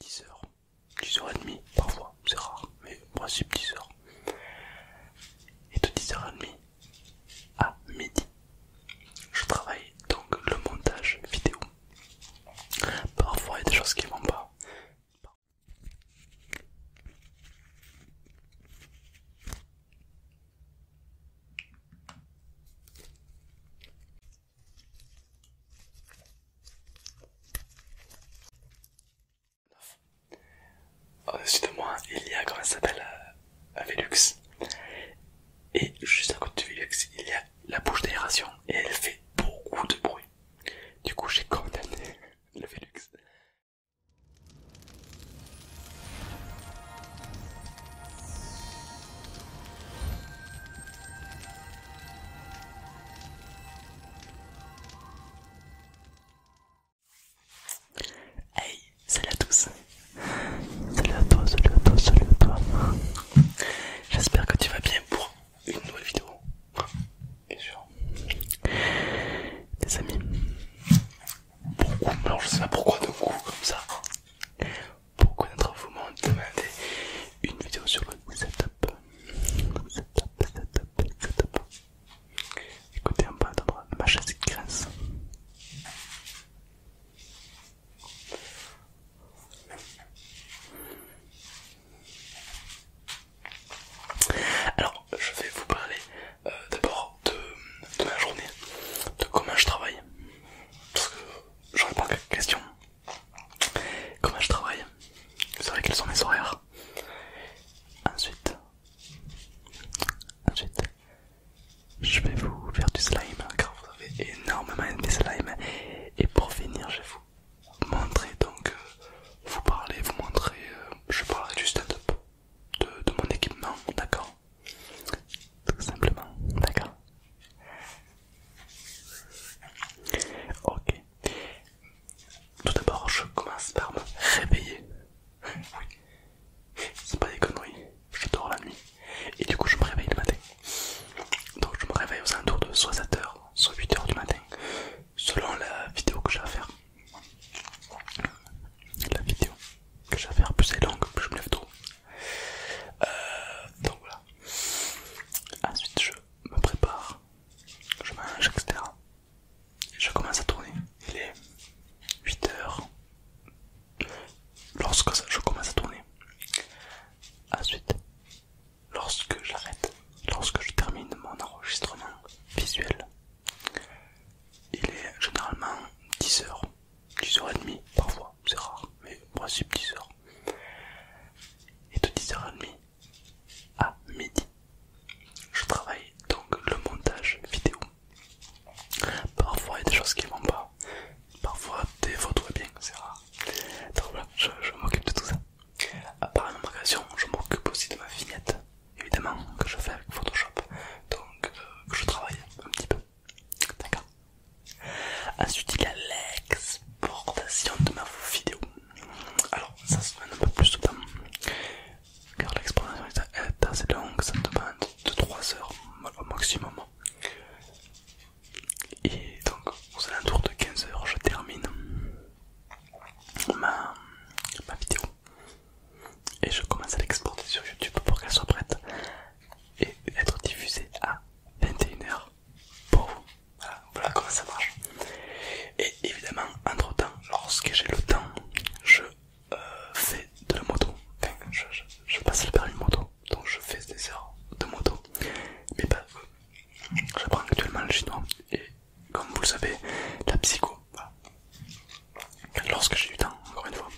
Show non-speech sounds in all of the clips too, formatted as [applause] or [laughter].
10h, 10h30 parfois, c'est rare, mais en principe 10h. Et de 10h30 à midi, je travaille donc le montage vidéo. Parfois il y a des choses qui vont pas. Au-dessus euh, moi, il y a, comment à s'appelle, à euh, Velux. Et juste à côté du Velux, il y a la bouche d'aération et elle fait beaucoup de bruit. Du coup, j'ai condamné [laughs] le Velux. Hey, salut à tous. Salut à toi, salut à toi, salut à toi. J'espère que tu vas bien pour une nouvelle vidéo. Bien sûr. Les amis. Beaucoup, alors je sais pas pourquoi d'un coup comme ça. Beaucoup d'entre vous m'ont demandé une vidéo sur le de setup, setup, setup, setup. Écoutez, un va à ma chaise qui grince. Alors, je vais vous parler euh, d'abord de, ma journée, de comment je travaille, parce que j'aurais pas de questions Comment je travaille Vous savez quels sont mes horaires Ensuite, ensuite, je vais vous faire du slime car vous avez énormément de slime. Et pour finir, je vais vous montrer donc, euh, vous parler, vous montrer, euh, je parlerai du stand-up de, de mon équipement, d'accord Tout simplement, d'accord Ok. Tout d'abord, je commence par me réveiller. Oui. C'est pas des conneries. Je dors la nuit. Et du coup, je me réveille le matin. Donc, je me réveille aux alentours de soit 7h, soit 8h du matin. Selon la vidéo que j'ai à faire. La vidéo que j'ai à faire, plus elle est longue, plus je me lève tôt. Euh, donc voilà. Ensuite, je me prépare je mange, etc. je commence à tourner. Il est 8h. Lorsque je commence à tourner. Ensuite, lorsque j'arrête, lorsque je termine mon enregistrement visuel, il est généralement 10h, 10h30 parfois, c'est rare, mais en principe 10h. Et de 10h30 à midi. Je travaille donc le montage vidéo. Parfois il y a des choses qui vont pas, parfois des photos eh bien, c'est rare. Donc voilà, je, m'occupe de tout ça. À part une je m'occupe aussi de ma vignette, évidemment, que je fais avec Photoshop, donc euh, je travaille un petit peu. D'accord Ensuite, il y a l'exportation de ma vidéo alors ça se fait un peu plus de temps car l'exportation est assez longue, ça demande de 3 heures au maximum. Et donc aux alentours de 15 heures je termine ma, ma vidéo et je commence à l'exporter sur YouTube pour qu'elle soit prête et être diffusée à 21h pour Voilà, comment ça marche. Et évidemment, entre temps, lorsque j'ai le temps, je euh, fais de la moto. Enfin, je, passe le permis moto, donc je fais des heures de moto. Mais pas bah, J'apprends actuellement le chinois et comme vous le savez, la psycho. Lorsque j'ai du temps, encore une fois.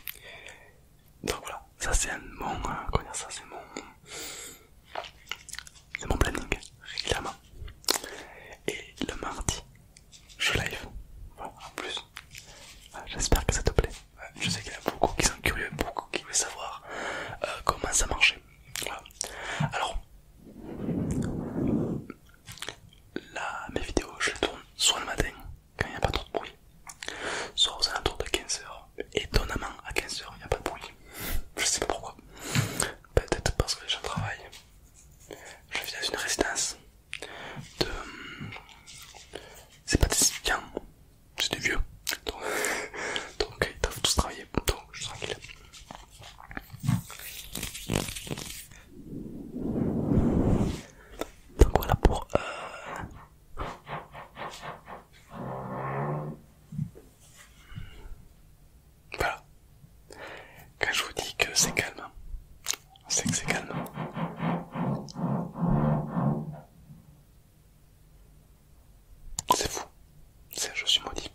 Donc voilà, ça c'est mon, euh, ça, mon de mon planning régulièrement. Et le mardi, je live. en plus, ah, j'espère que ça te plaît. Je sais qu'il y a beaucoup qui sont curieux, beaucoup qui veulent savoir euh, comment ça marchait. Alors, là, mes vidéos, je les tourne soit le matin, quand il n'y a pas trop de bruit, soit aux alentours de 15h. Étonnamment, à 15h, il n'y a pas de bruit. Je sais pas pourquoi peut-être parce que je travaille. Je viens dans une résidence de. C'est pas des étudiants, c'est des vieux. Donc, [laughs] donc ils doivent tous travailler. Donc je suis tranquille. Donc voilà pour. Euh, voilà. Quand je vous dis que c'est calme, c'est hein. que c'est calme. C'est fou. Je suis maudit.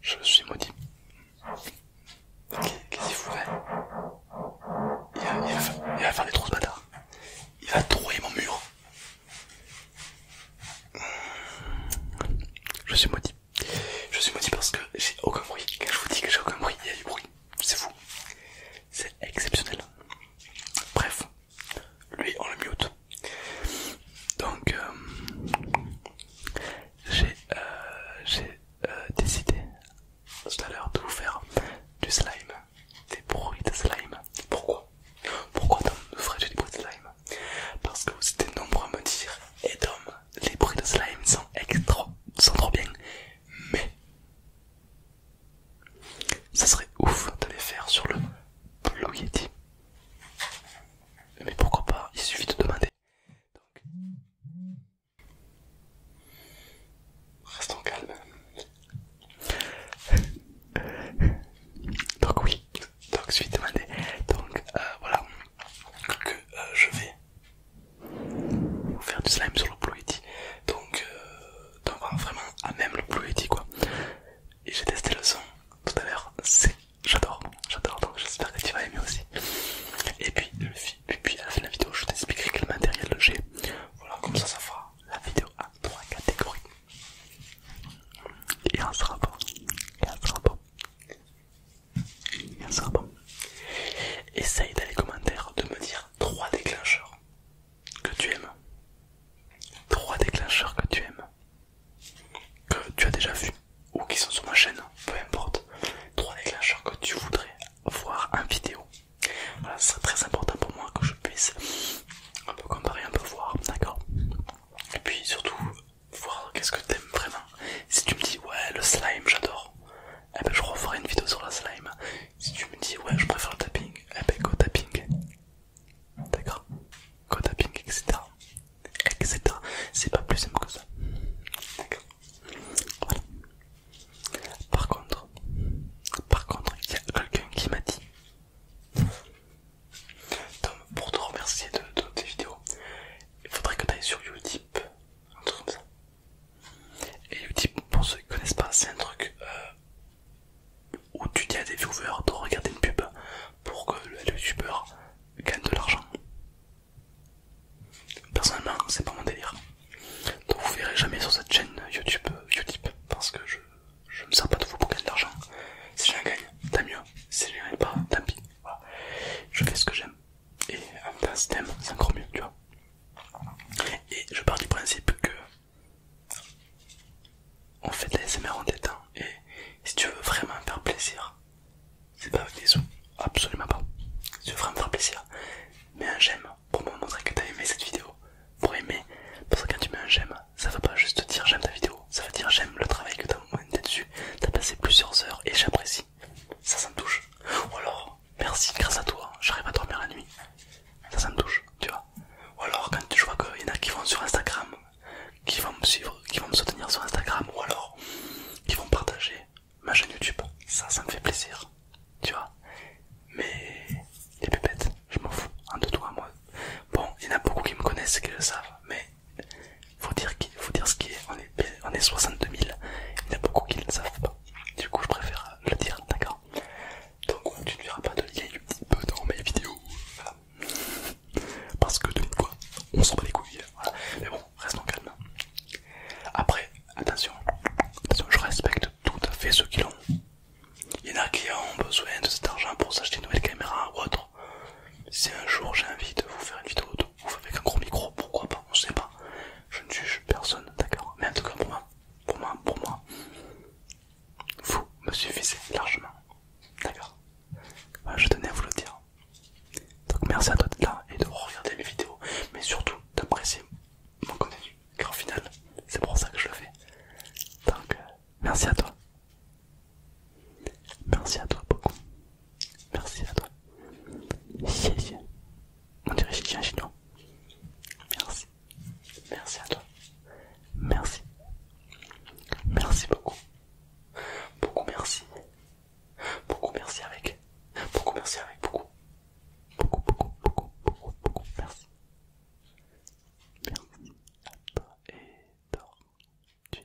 Je suis maudit. Qu'est-ce qu'il fout il va, il, va, faire des trous ce bâtard. Il va trouer mon mur. Je suis maudit. Je suis maudit parce que j'ai aucun bruit. Quand je vous dis que j'ai aucun bruit, il y a du bruit. C'est fou. C'est exceptionnel. Bref, lui on le mute. Donc euh, j'ai euh, euh, décidé tout à l'heure de vous faire du slime, des bruits de slime. Pourquoi Pourquoi dans le ferais-je de slime parce que vous étiez nombreux à me dire et eh, les bruits de slime sont extra trop bien mais ça serait ouf de les faire sur le blog mais pourquoi pas il suffit de demander Donc, Restons calmes. Donc oui, donc je suis demandé. Donc euh, voilà que euh, je vais vous faire du slime sur le Blue Donc, euh, donc vraiment à même le Blue quoi. Et j'ai testé le son tout à l'heure. C'est j'adore, j'adore. Donc j'espère que tu vas aimer aussi. Et puis puis, à la fin de la vidéo, je t'expliquerai quel matériel j'ai. Voilà, comme ça, ça fera la vidéo à trois catégories. Et un rapport. Et un rapport. Et rapport. Essaye dans les commentaires de me dire trois déclencheurs que tu aimes. Trois déclencheurs que tu aimes. Que tu as déjà vu ou qui sont sur ma chaîne, peu importe. Trois déclencheurs que tu voudrais voir en vidéo. Voilà, ce serait très important pour moi que je puisse un peu comparer, un peu voir, d'accord Et puis surtout, voir qu'est-ce que t'aimes vraiment. Si tu me dis ouais le slime j'adore, et eh ben je referai une vidéo sur la slime. Si tu me dis ouais je préfère le tapping, eh ben go tapping. D'accord Go tapping etc. Etc. C'est pas plus simple que ça. D'accord Voilà. Par contre, par contre, il y a quelqu'un qui m'a dit Tom, pour te remercier de, tes vidéos, il faudrait que tu ailles sur Utip, un truc comme ça. Et Utip, pour ceux qui ne connaissent pas, c'est un truc euh, où tu dis à des viewers de regarder une pub pour que le youtubeur gagne de l'argent. Personnellement, c'est pas mon délire. Donc vous verrez jamais sur cette chaîne YouTube Utip parce que je, ne me sers pas de vous pour gagner de l'argent. Si j'en gagne, tant mieux c'est Si je arrive pas, tant pis. Je fais ce que j'aime. Et en même temps, si t'aimes, c'est encore mieux, tu vois. Et je pars du principe que on fait de l'ASMR en tête hein. Et si tu veux vraiment faire plaisir, c'est pas avec des sous, absolument pas. Si tu veux vraiment faire plaisir, mets un j'aime pour me montrer que t'as aimé cette vidéo. Pour aimer, parce que quand tu mets un j'aime, ça veut pas juste dire j'aime ta vidéo, ça veut dire j'aime le travail que t'as mis dessus, t'as passé plusieurs heures et j'apprécie. Ça, ça me touche. Ou alors, merci, grâce à toi, j'arrive à dormir la nuit. Ça, ça me touche, tu vois. Ou alors, quand je vois qu'il y en a qui vont sur Instagram, qui vont me suivre, qui vont me soutenir sur Instagram, ou alors, qui vont partager ma chaîne YouTube, ça, ça me fait plaisir, tu vois. Mais les pépettes, je m'en fous, un de toi, moi. Bon, il y en a beaucoup qui me connaissent et qui le savent, mais faut dire qu'il faut dire ce qui est. On est, on est 62 000. Il y en a beaucoup qui ne savent pas. Du coup, je préfère le dire, d'accord Donc, tu ne verras pas de lien du petit peu dans mes vidéos. Parce que de quoi on s'en bat les couilles. Mais bon, restons calmes. Après, attention, attention, je respecte tout à fait ceux qui l'ont. Il y en a qui ont besoin de cet argent pour s'acheter une nouvelle caméra ou autre si un jour j'ai envie de vous faire une vidéo avec un gros micro, pourquoi pas, on sait pas. Je ne juge personne, d'accord Mais en tout cas, pour moi, pour moi, pour moi, vous me suffisez largement, d'accord Je tenais à vous le dire. Donc merci à toi d'être là et de regarder mes vidéos, mais surtout d'apprécier mon contenu, car au final, c'est pour ça que je le fais. Euh, Merci à toi. Merci à toi beaucoup. Merci à toi. Chien. On dirait que j'ai un chignon. Merci. Merci à toi. Merci. Merci beaucoup. Beaucoup merci. Beaucoup merci avec. Beaucoup merci avec beaucoup. Beaucoup, beaucoup, beaucoup, beaucoup, beaucoup. Merci. Merci et Tu es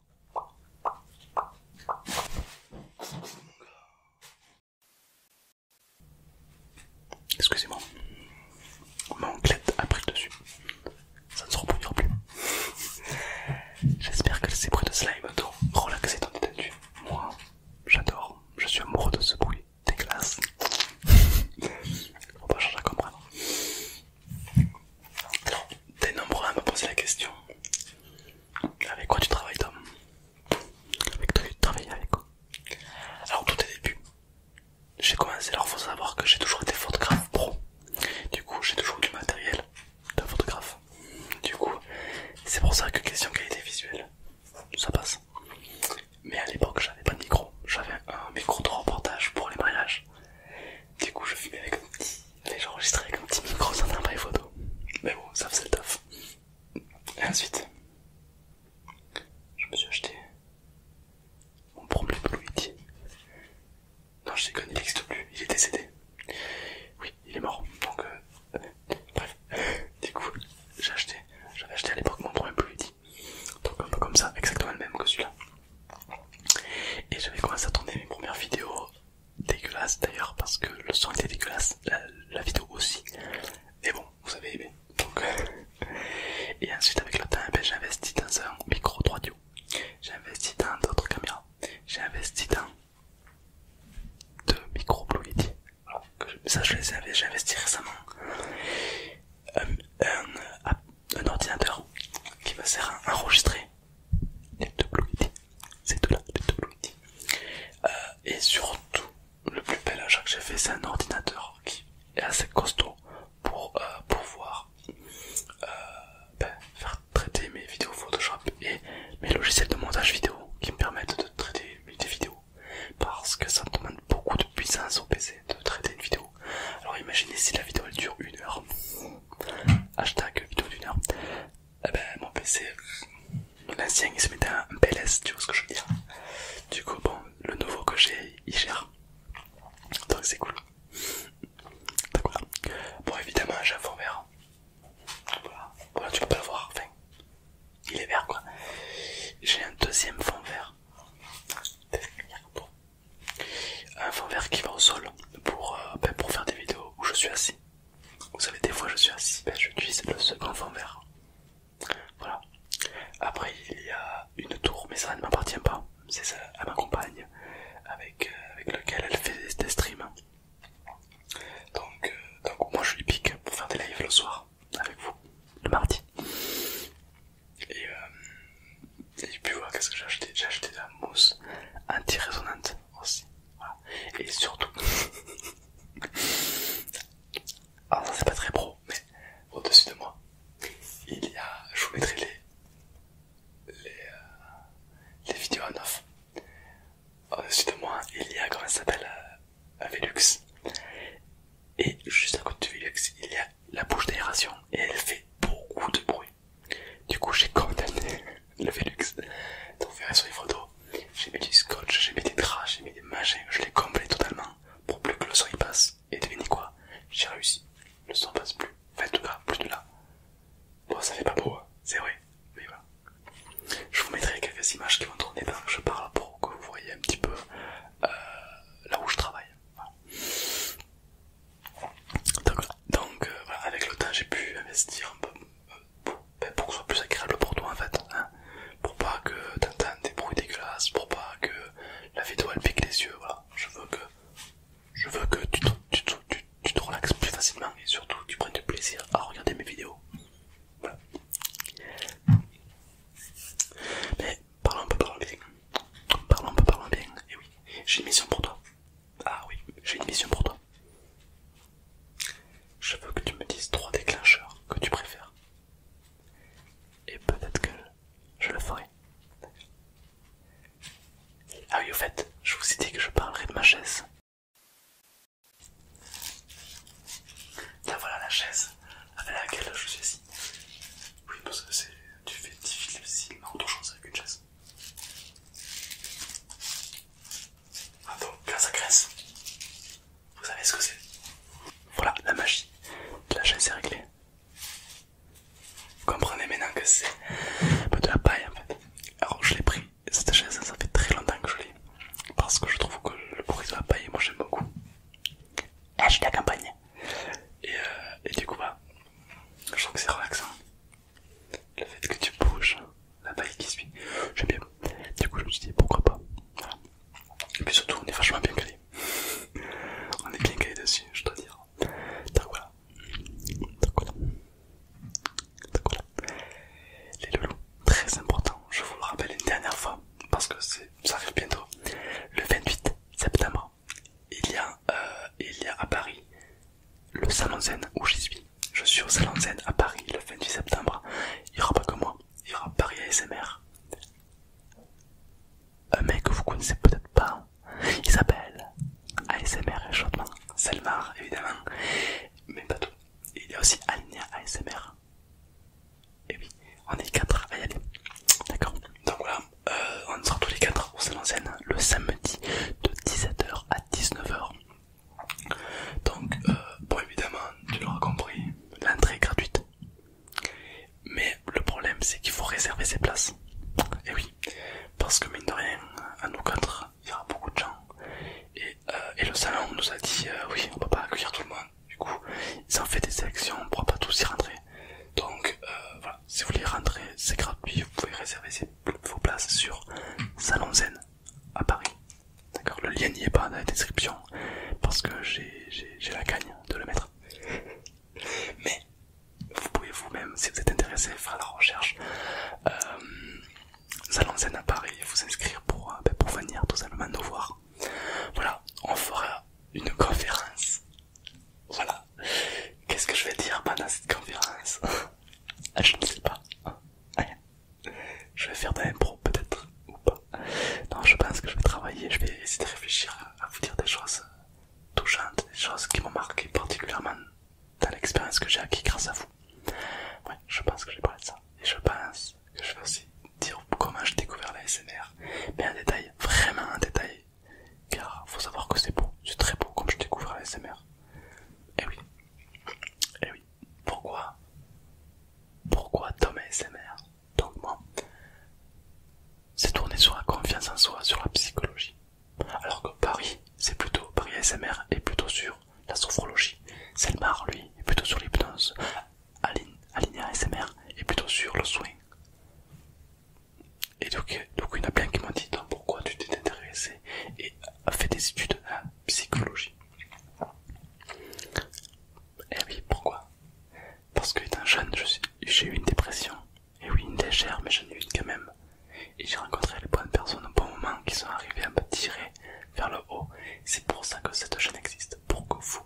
Excusez-moi, mon onclette a pris dessus, ça ne se reproduira plus. J'espère que ces bruits de slime t'ont relaxé ton détendu. Moi, j'adore, je suis amoureux de ce bruit, Dégueulasse. On Faut pas changer à comprendre. Alors, t'es nombreux à me poser la question avec quoi tu travailles, Tom Avec toi, tu travailles avec quoi Alors, tout est début. J'ai commencé, alors faut savoir que j'ai toujours été photographe pro. Du coup, j'ai toujours du matériel de photographe. Du coup, c'est pour ça que question qualité visuelle, ça passe. Mais à l'époque, j'avais pas de micro. J'avais un micro de reportage pour les mariages. Du coup, je fumais avec un petit mais j'ai enregistré avec un petit micro sans appareil photo. Mais bon, ça faisait le taf. Et ensuite, je me suis acheté mon premier Blue Non, je déconne, il n'existe plus, il est décédé. Oui, il est mort. Donc, euh, bref, du coup, j'ai acheté, j'avais acheté à l'époque mon premier Blue Donc, un peu comme ça, exactement le même que celui-là. Et j'avais commencé à tourner mes premières vidéos dégueulasse d'ailleurs parce que le son était dégueulasse, la, vidéo aussi. Mais bon, vous avez aimé. Euh, [laughs] et ensuite avec le temps, eh ben, j'ai investi dans un micro 3 audio, j'ai investi dans d'autres caméras, j'ai investi dans deux micros Blue ça je les avais, j'ai investi récemment. Euh, euh, un, ordinateur qui va servir à enregistrer les deux Blue c'est là euh, et surtout, le plus bel achat que j'ai fait, c'est un ordinateur qui est assez costaud pour euh, pouvoir euh, ben, faire traiter mes vidéos Photoshop et mes logiciels de montage vidéo qui me permettent de traiter des vidéos parce que ça demande beaucoup de puissance au PC de traiter une vidéo. Alors imaginez si la vidéo elle dure une heure, hashtag vidéo d'une heure, eh ben, mon PC, l'ancien il se mettait en PLS, tu vois ce que je veux dire. Du coup, bon, le nouveau que j'ai, il gère. Donc c'est cool. Bon, évidemment, j'ai un fond vert. Voilà. tu peux pas le voir. il est vert quoi. J'ai un deuxième fond vert. Un fond vert qui va au sol pour, euh, ben, pour faire des vidéos où je suis assis. Vous savez, des fois je suis assis, ben, j'utilise le second fond vert. Voilà. Après, il y a une tour, mais ça ne m'appartient pas. C'est à ma compagne avec, euh, avec laquelle elle fait des streams. Euh, donc, moi je lui pique pour faire des lives le soir avec vous, le mardi. Et, euh, puis qu'est-ce que j'ai acheté J'ai acheté de la mousse anti-résonante aussi. Et surtout, [laughs] alors ça c'est pas très pro, mais au-dessus de moi, il y a, je vous mettrai les, les, euh, vidéos en off. Au-dessus de moi, il y a, comment ça s'appelle, euh, un Velux. Et juste à côté du Velux, il y a la bouche d'aération et elle fait beaucoup de bruit. Du coup, j'ai condamné le Velux. Donc verrez sur les photos, j'ai mis du scotch, j'ai mis des draps, j'ai mis des machins, je l'ai comblé totalement pour plus que le son passe. Et devinez quoi J'ai réussi, le son passe plus, enfin en tout cas plus de là. Bon ça fait pas beau, hein. c'est vrai, mais voilà. Je vous mettrai quelques images qui vont tourner je parle pour que vous voyez un petit peu euh, là où je travaille. Donc, euh, voilà, avec le temps j'ai pu investir un peu, ben, pour que ce soit plus agréable pour toi en fait, hein. pour pas que t'entendes des bruits dégueulasses, pour pas que la vidéo elle pique les yeux, voilà, je veux que, je veux que tu, te, relaxes plus facilement et surtout tu prennes du plaisir à regarder mes vidéos. Mais parlons un peu, parlons bien. Parlons un peu, parlons bien. Et oui, j'ai une mission pour toi. Ah oui, j'ai une mission pour toi. Je veux que tu me dises trois déclencheurs que tu préfères. Et peut-être que je le ferai. Ah oui, au fait, je vous ai dit que je parlerai de ma chaise. Là voilà la chaise avec laquelle je suis assis. Oui, parce que tu fais difficilement autre chose avec une chaise. Ah donc ça graisse, vous savez ce que c'est. Voilà la magie de la chaise est réglée. Vous comprenez maintenant que c'est de la paille en fait. Alors je l'ai pris, cette chaise ça fait très longtemps que je l'ai. Parce que je trouve que le bruit de la paille, moi j'aime beaucoup. Eh, et je la campagne. Et, du coup, bah, je trouve que c'est relaxant. Le fait que tu bouges, la paille qui suit. J'aime bien. Du coup, je me suis dit pourquoi pas. Et puis surtout, on est vachement bien calé. [laughs] on est bien calé dessus, je dois dire. Donc voilà. Donc voilà. Les loulous, très important, je vous le rappelle une dernière fois, parce que ça arrive bientôt. Le 28 septembre, il y a, euh, il y a à Paris le salon zen où j'y suis je suis au Salon de à Paris le 28 septembre. Il n'y aura pas que moi, il y aura Paris ASMR. Un mec que vous connaissez peut-être pas, il s'appelle ASMR Échaudement, Selmar évidemment, mais pas tout. Il y a aussi Alinea ASMR. Et oui, on est quatre à y aller. D'accord Donc voilà, euh, on sera tous les quatre au Salon de le samedi de 17h à 19h. Donc, euh, bon, évidemment, tu l'auras compris, l'entrée est gratuite. Mais le problème, c'est qu'il faut réserver ses places. Et eh oui, parce que mine de rien, à nous quatre, il y aura beaucoup de gens. Et, euh, le salon nous a dit euh, oui, on ne peut pas accueillir tout le monde. Du coup, ils ont fait des sélections, on ne pourra pas tous y rentrer. Donc voilà, si vous voulez rentrer, c'est gratuit, vous pouvez réserver vos places sur Salon Zen à Paris. D'accord, le lien n'y est pas dans la description parce que j'ai la gagne de le mettre. [laughs] Mais vous pouvez vous-même, si vous êtes intéressé, faire la recherche. Euh, salon à Paris, vous inscrire euh, ben, pour, venir tout simplement nous voir. Voilà, on fera une conférence. Voilà. Qu'est-ce que je vais dire pendant cette conférence [laughs] ah, Je ne sais pas. Ah, je vais faire de l'impro peut-être ou pas. Non, je pense que je vais travailler, je vais essayer de réfléchir à, vous dire des choses touchantes, des choses qui m'ont marqué particulièrement dans l'expérience que j'ai acquis grâce à vous. Ouais, je pense que j'ai parler de ça. Et je pense que je vais aussi dire comment j'ai découvert la Mais en détail, vraiment en détail. Car faut savoir que c'est beau, c'est très beau comme je découvre l'ASMR, Et eh oui. Et eh oui pourquoi pourquoi Tom ASMR donc moi c'est tourné sur la confiance en soi sur la psychologie alors que Paris c'est plutôt Paris ASMR est plutôt sur la sophrologie Selmar lui est plutôt sur l'hypnose Aline, Aline ASMR est plutôt sur le soin. et donc, il y en a plein qui m'ont dit pourquoi tu t'es intéressé et a fait des études en psychologie eh oui, pourquoi Parce que un jeune, j'ai eu une dépression. Et oui, une légère, mais j'en ai eu une quand même. Et j'ai rencontré les bonnes personnes au bon moment qui sont arrivées à me tirer vers le haut. C'est pour ça que cette chaîne existe, pour que vous,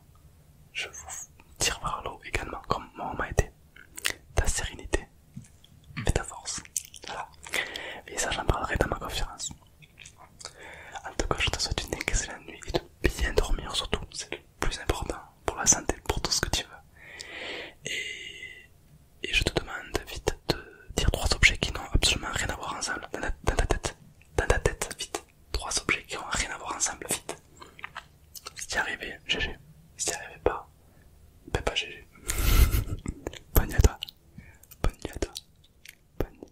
je vous tire vers le haut également, comme moi m'a été. Ta sérénité mm. et ta force. Voilà. Et ça, j'en parlerai dans ma conférence. En tout cas, je te souhaite une excellente nuit et de bien dormir surtout, c'est le plus important pour la santé, pour tout ce que tu veux. Et, je te demande vite de dire trois objets qui n'ont absolument rien à voir ensemble dans ta, tête. Dans ta tête, vite. Trois objets qui n'ont rien à voir ensemble, vite. Si t'y arrivais, GG. Si t'y arrivais pas, ben pas GG. [laughs] Bonne nuit à toi. Bonne nuit à toi. Bonne nuit.